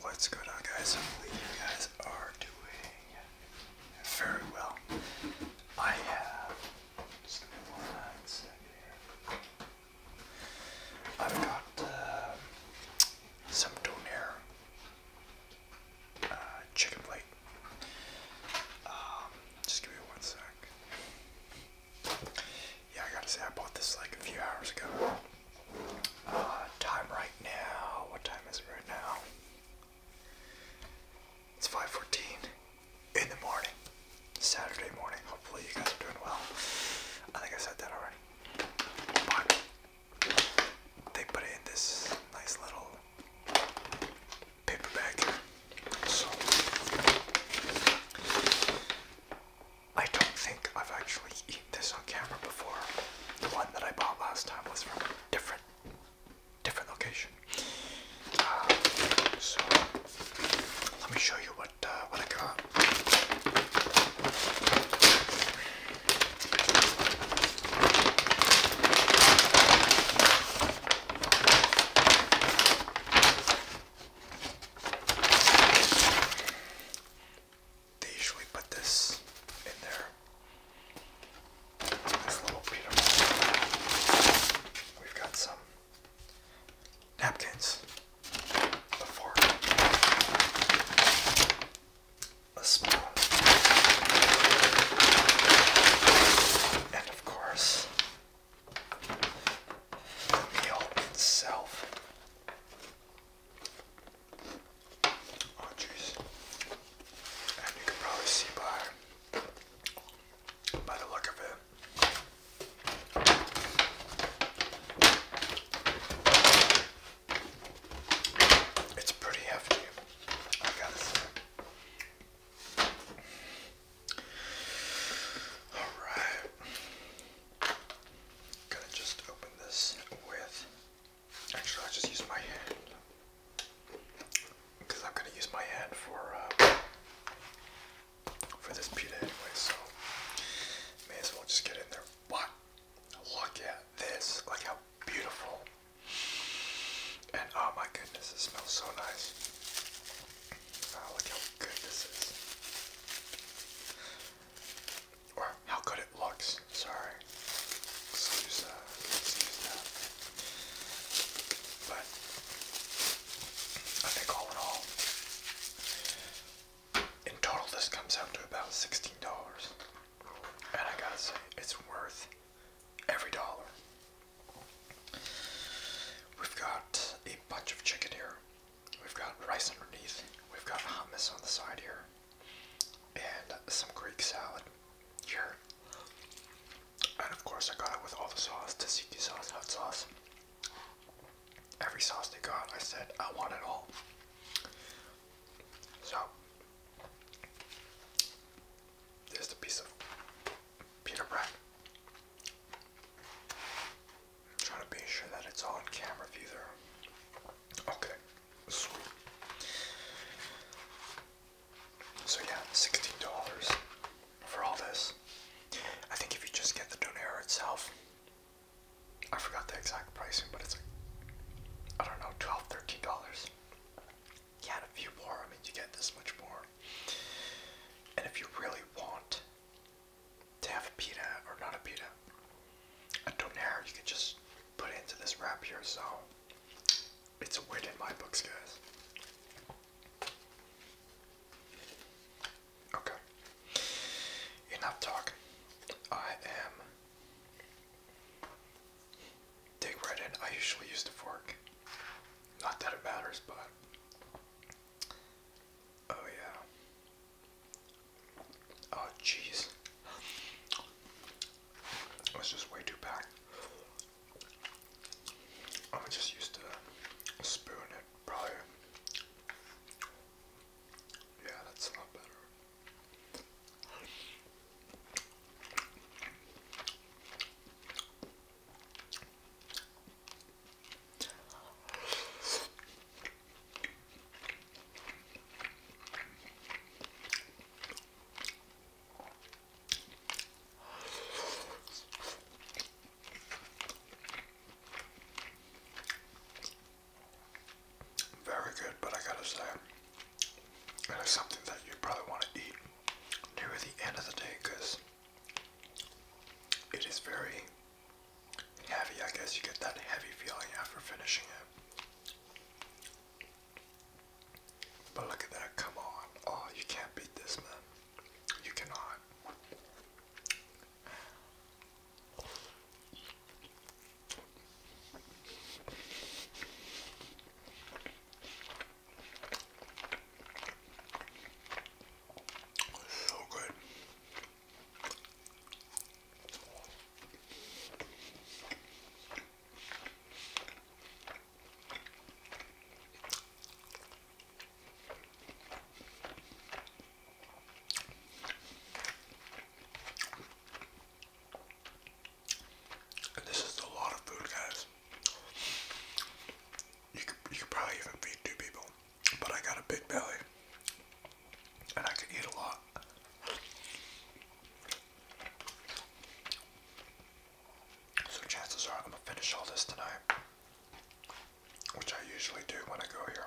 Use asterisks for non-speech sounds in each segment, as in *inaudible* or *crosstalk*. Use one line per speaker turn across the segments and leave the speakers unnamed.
What's going on guys? Hopefully you guys are doing very well. I have I've got uh, some donair uh, chicken plate. Um, just give me one sec. Yeah, I gotta say I bought this like a few hours ago. Uh, time right now. What time is it right now? It's 5:14 in the morning. Saturday morning. Hopefully you guys are doing well. I think I said that already. they put it in this nice little paper bag. So I don't think I've actually eaten this on camera before. The one that I bought last time was from a different, different location. Uh, so let me show you what uh, what I got they usually put this in there. This little peanut We've got some napkins. A fork. A spoon. And of course, the meal itself. Oh jeez. And you can probably see by by the look of it. It's pretty hefty, I gotta Alright gonna just open this with. Actually, I'll just use my hand because I'm gonna use my hand for uh, for this pita anyway. So may as well just get in there. What? Look at this! Look how beautiful! And oh my goodness, it smells so nice. Oh, look how good this is or how good it looks. Sorry, let's But I think all in all, in total, this comes out to about sixteen dollars, and I gotta say, it's worth every dollar. We've got a bunch of chicken here. We've got rice underneath. We've got hummus on the side here. And some Greek salad here. And of course, I got it with all the sauce tzatziki sauce, hot sauce. Every sauce they got, I said, I want it all. So, there's the piece of pita bread. Trying to be sure that it's on camera view there. Okay, sweet. So yeah, sixteen dollars for all this. I think if you just get the Donera itself, I forgot the exact pricing, but it's like I don't know, twelve, thirteen dollars. Yeah, and a few more. I mean, you get this much more. And if you really want to have a pita or not a pita, a donair you can just put into this wrap here. So it's a win in my books, guys. Okay, enough talk. I am. Dig right in. I usually use the fork. Not that it matters, but. Oh, yeah. Oh, jeez. It's just way too packed. I'm just used to spoon it, probably. Yeah, that's a lot better. Very good, but I gotta say, it is something that you probably want to eat near the end of the day because it is very heavy. I guess you get that heavy feeling after finishing it. But look at that, come on. Oh, you can't beat this, man. You cannot. So good. And this is a lot of food, guys. You could, you could probably even feed two people. But I got a big belly and I can eat a lot. So chances are I'm gonna finish all this tonight, which I usually do when I go here.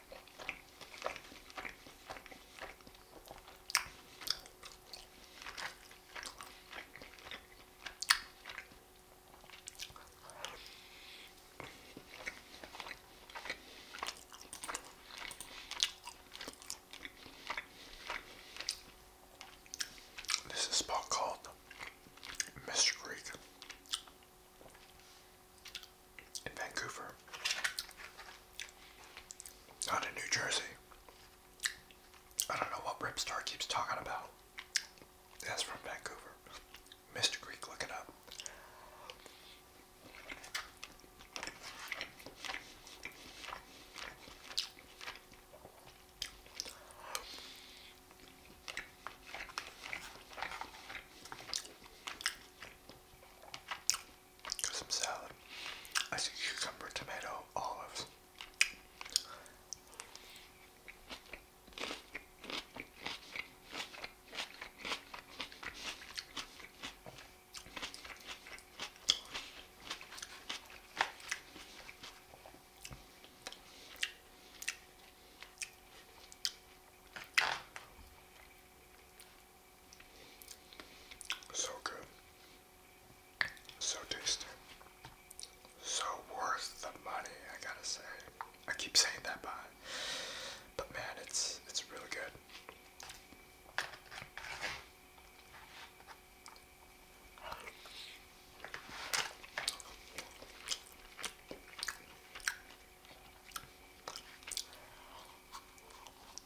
This is a spot called Mr. Greek in Vancouver, not in New Jersey. I don't know what Rip Star keeps talking about. That's from Vancouver. Mr. Greek, look it up some salad. I see cucumber, tomato, olives. So good. So tasty. So worth the money, I gotta say. I keep saying that, but, but man, it's, it's really good.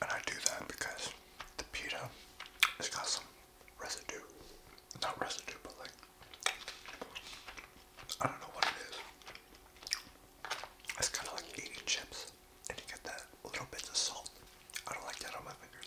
And I do that because the pita has got some residue. Not residue, but like, I don't know what it is. It's kind of like eating chips, and you get that little bits of salt. I don't like that on my fingers.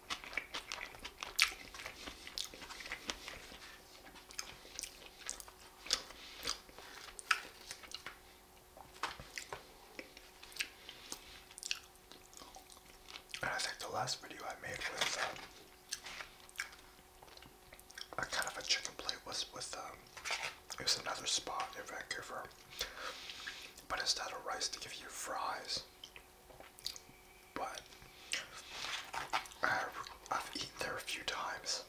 I think the last video I made was um, a kind of a chicken plate was with um, it was another spot in Vancouver, but instead of rice, they give you fries but I've, I've eaten there a few times.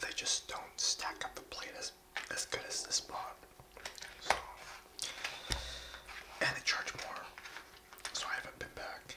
They just don't stack up the plate as as good as this one, and they charge more, so I haven't been back.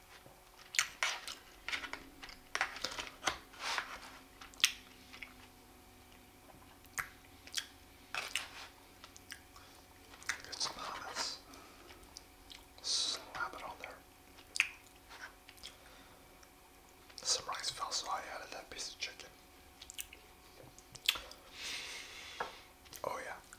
Get some Slap it on there. Some rice fell, so I added that piece of chicken. Oh yeah.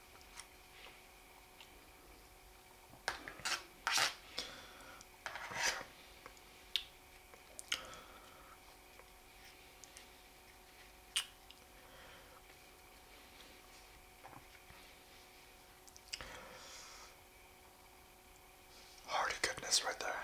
Hearty goodness right there.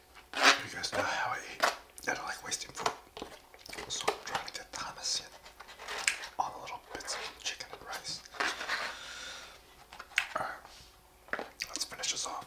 You guys know how I eat. I don't like wasting food. So I'm trying to get Thomas in all the little bits of chicken and rice. let's finish this off.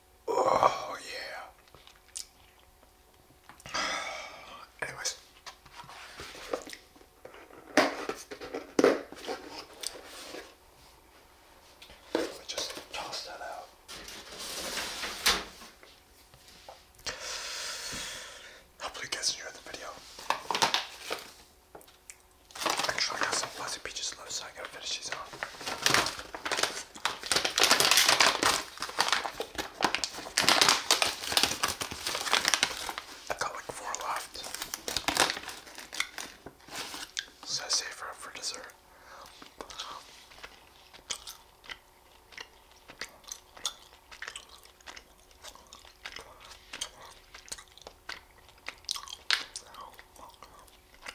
Oh, yeah. *sighs* Anyways. Let me just toss that out. Hopefully, you guys enjoyed the video. Actually, I got some fuzzy peaches left so I gotta finish these off. I got like four left. So I save her for dessert.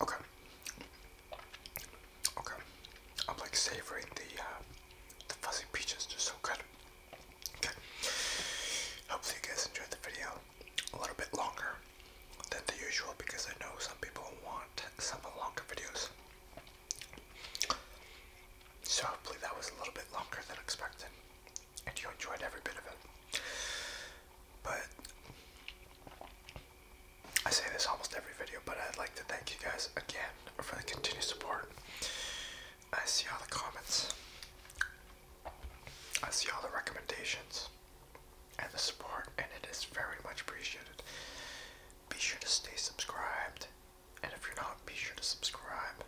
Okay. Okay. I'm like savoring the uh, the fuzzy peaches. they so good. Okay. Hopefully you guys enjoyed the video. A little bit longer than the usual because I know some people want some longer videos. So hopefully that was a little bit longer than expected, and you enjoyed every bit of it. But I say this almost every video, but I'd like to thank you guys again for the continued support. I see all the comments, I see all the recommendations, and the support, and it is very much appreciated. Be sure to stay subscribed, and if you're not, be sure to subscribe,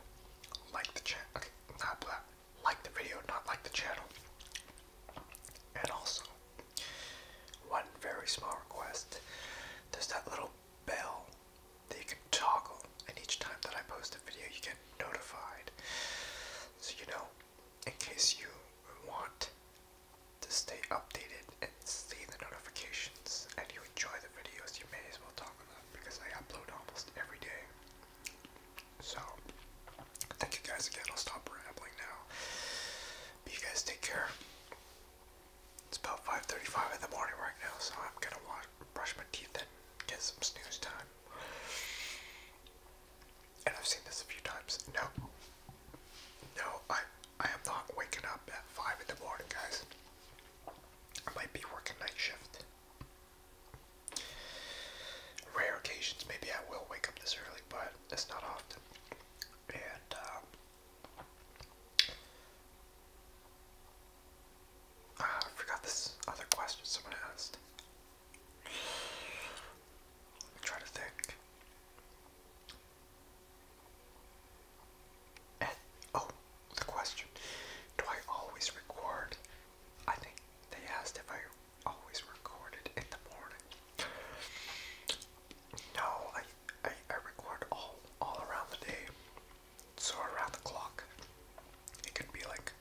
like the channel, okay, not black like the video, not like the channel. And also, one very small request there's that little bell that you can toggle, and each time that I post a video, you get notified. So, you know, in case you want to stay updated and see the notifications and you enjoy the videos, you may as well toggle them because I upload almost every day. So, thank you guys again. I'll stop rambling now. you guys take care. It's about 5:35 in the morning right now, so I'm gonna wash, brush my teeth and get some snooze time. And I've seen this a few times. No, no, I I am not waking up at five in the morning, guys. I might be working night shift. Rare occasions, maybe I will wake up this early, but it's not often. And, um, I forgot this other question someone asked. I'm trying to think. oh, the question. Do I always record? I think they asked if I always recorded in the morning. No, I, I, I record all, all around the day, so around the clock. It could be like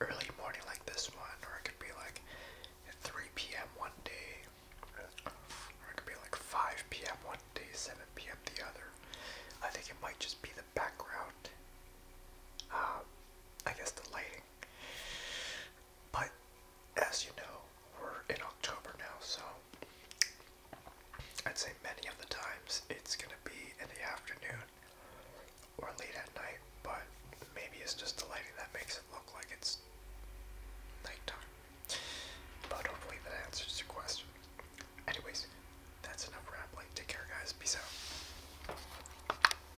early morning like this one, or it could be like 3 p.m. one day, or it could be like 5 p.m. one day, 7 p.m. the other. I think it might just be the background. Uh, I guess the lighting. But as you know, we're in October now, so I'd say many of the times it's gonna be in the afternoon or late at night, but maybe it's just the lighting that makes it look like it's nighttime. But hopefully that answers your question. Anyways, that's enough rambling. Take care, guys. Peace out.